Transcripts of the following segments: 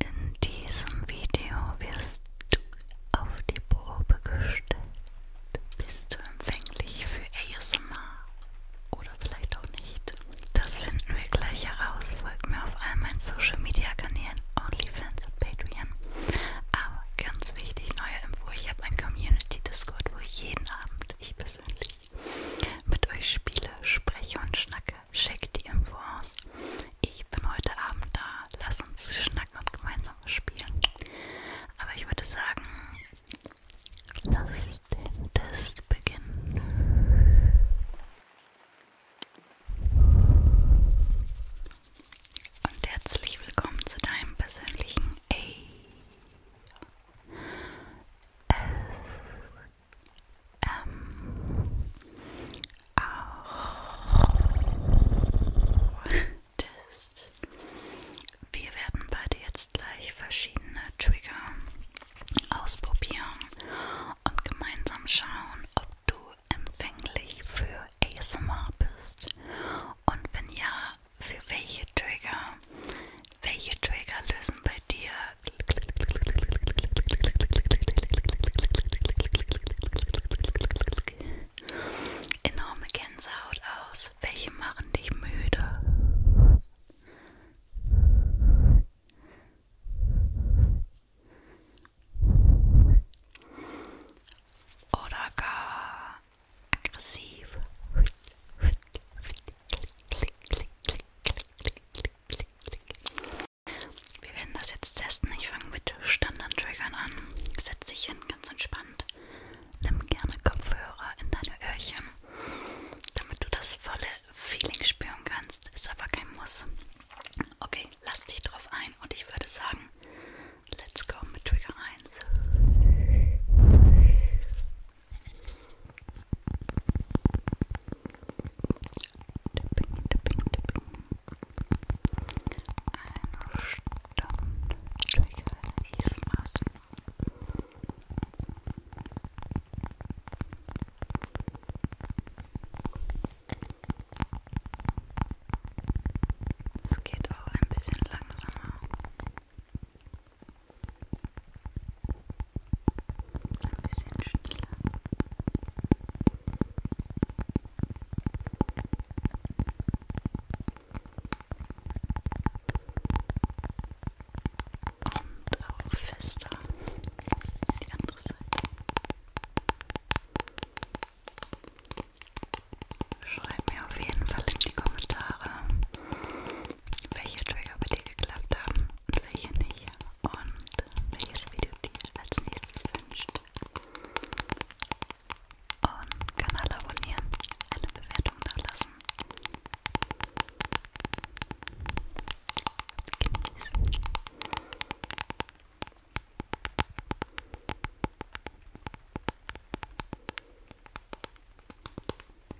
In diesem Video wirst du auf die Probe gestellt. Bist du empfänglich für ASMR? Oder vielleicht auch nicht. Das finden wir gleich heraus. Folgt mir auf all meinen Social Media Kanälen, OnlyFans und Patreon. Aber ganz wichtig, neue Info, ich habe ein Community Discord, wo jeden Abend ich persönlich mit euch spiele, spreche und schnacke schick die Info aus. Ich bin heute Abend da. Lass uns schnacken und gemeinsam spielen. Aber ich würde sagen, lass den Test beginnen. Und herzlich willkommen zu deinem persönlichen A ähm, auch Test. Wir werden beide jetzt gleich verschiedene Trigger ausprobieren und gemeinsam schauen, ob du empfänglich für ASMR bist und wenn ja, für welche Trigger. Welche Trigger lösen bei dir Enorme Gänsehaut aus. Welche machen dich müde? Oder aggressiv. Wir werden das jetzt testen. Ich fange mit Standard-Triggern an. Setz dich hin, ganz entspannt. Nimm gerne Kopfhörer in deine Öhrchen, damit du das volle Feeling spüren kannst. Ist aber kein Muss. Okay, lass dich drauf ein und ich würde sagen, let's go mit Trigger 1. Tipping, tipping, tipping. Eine Stunde Trigger Eastmaß. Es geht auch ein bisschen langsamer. Ein bisschen schneller. Und auch fester. Die andere Seite. Schreibt mir auf jeden Fall in die Kommentare, welche Trigger bei dir geklappt haben und welche nicht und welches Video dir als nächstes wünscht. Und Kanal abonnieren, eine Bewertung nachlassen. Genießen.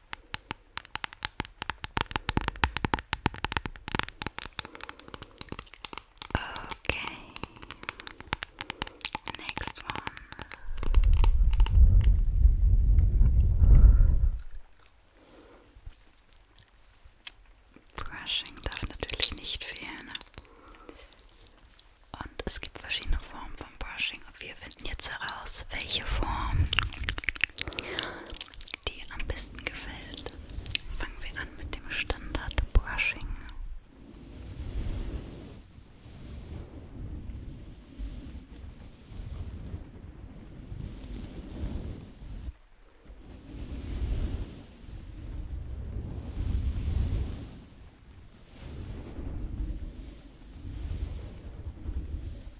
Okay. Next one. Brushing darf natürlich nicht fehlen. Und es gibt verschiedene Formen von Brushing und wir finden jetzt heraus, welche Form die am besten gefällt. Fangen wir an mit dem Standard Brushing.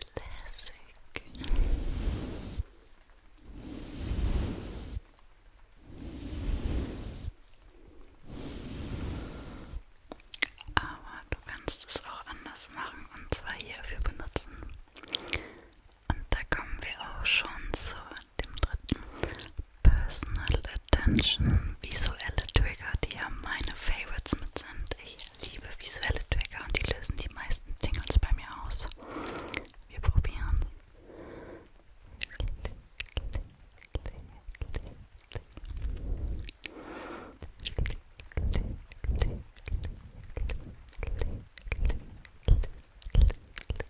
Classic. Aber du kannst es auch anders machen und zwar hierfür benutzen. Und da kommen wir auch schon zur dem dritten. Personal Attention, visuelle Trigger, die ja meine Favorites mit sind. Ich liebe visuelle Trigger und die lösen die meisten Tingles bei mir aus. Wir probieren.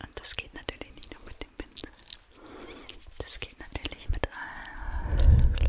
Und das geht natürlich nicht nur mit dem Pinsel. Das geht natürlich mit allem. Gut.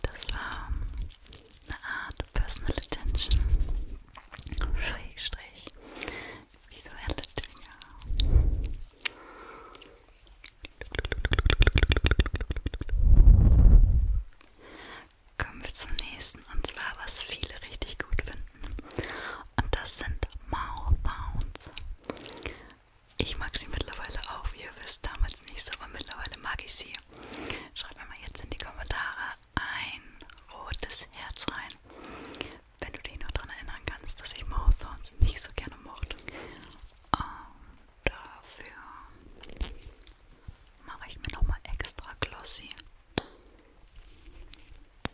Das war eine Art Personal Attention, Schrägstrich, visuelle Dinge. Kommen wir zum nächsten und zwar, was viele richtig gut finden. Und das sind Mouth Sounds. Ich mag sie mittlerweile auch, wie ihr wisst, damals nicht so, aber mittlerweile mag ich sie. Schreibt mir mal jetzt in die Kommentare ein rotes Herz rein, wenn du dich noch daran erinnern kannst, dass ich Mouth Sounds nicht so gerne mochte. Und dafür mache ich mir nochmal extra Glossy.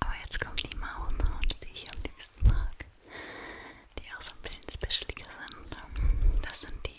Aber jetzt kommt die Mauerlaute, ich am liebsten mag, die auch ein bisschen specialiger sind. Das sind die.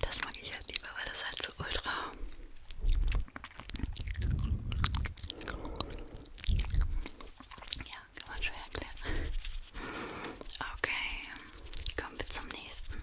Das mag ich halt lieber, weil das halt so ultra ja, kann man schwer erklären. Okay, kommen wir zum nächsten.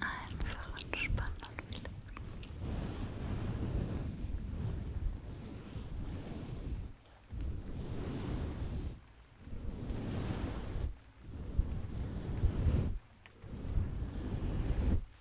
Einfach entspannen und relaxen. Dein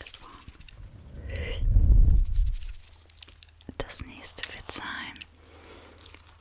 Next one. Das nächste wird sein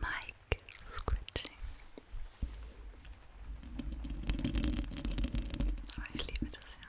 Mike scratching. Oh, ich liebe das ja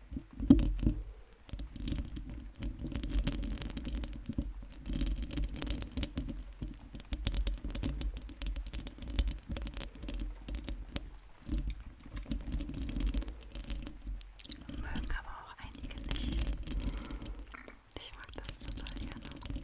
Mögen aber auch einige nicht. Ich mag das total gerne.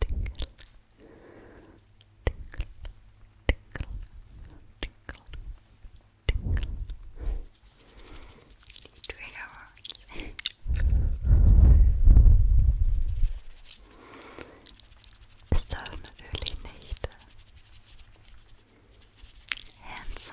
tickle, tickle, tickle, tickle, tickle. Trigger Es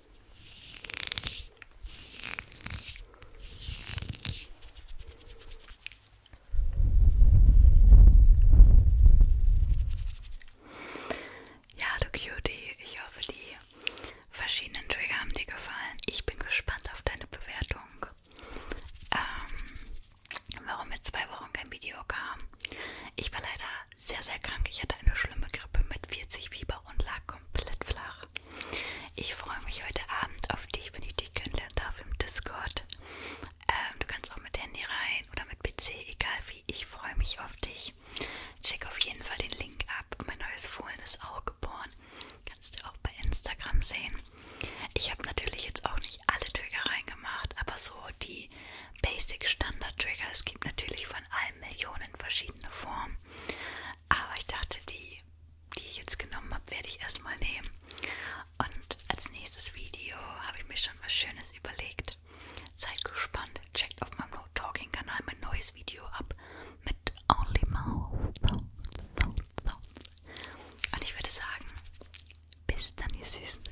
Ja, du Cutie, ich hoffe, die verschiedenen Trigger haben dir gefallen. Ich bin gespannt auf deine Bewertung. Ähm, warum jetzt zwei Wochen kein Video kam? Ich war leider sehr, sehr krank. Ich hatte eine schlimme Grippe mit 40 Fieber und lag komplett flach. Ich freue mich heute Abend auf dich, wenn ich dich kennenlernen darf im Discord. Ähm, du kannst auch mit Handy rein oder mit PC, egal wie. Ich freue mich auf dich. Check auf jeden Fall den Link ab. Mein neues Fohlen ist auch geboren. Kannst du auch bei Instagram sehen. Ich habe natürlich jetzt auch nicht alle Trigger reingemacht, aber so die Basic Standard Trigger. Es gibt natürlich von allen Millionen verschiedene Formen. Aber ich dachte, die, die ich jetzt genommen habe, werde ich erstmal nehmen. Und als nächstes Video habe ich mir schon was Schönes überlegt. Seid gespannt. Checkt auf meinem No Talking Kanal mein neues Video ab mit Only Mouth. Und ich würde sagen, bis dann, ihr Süßen.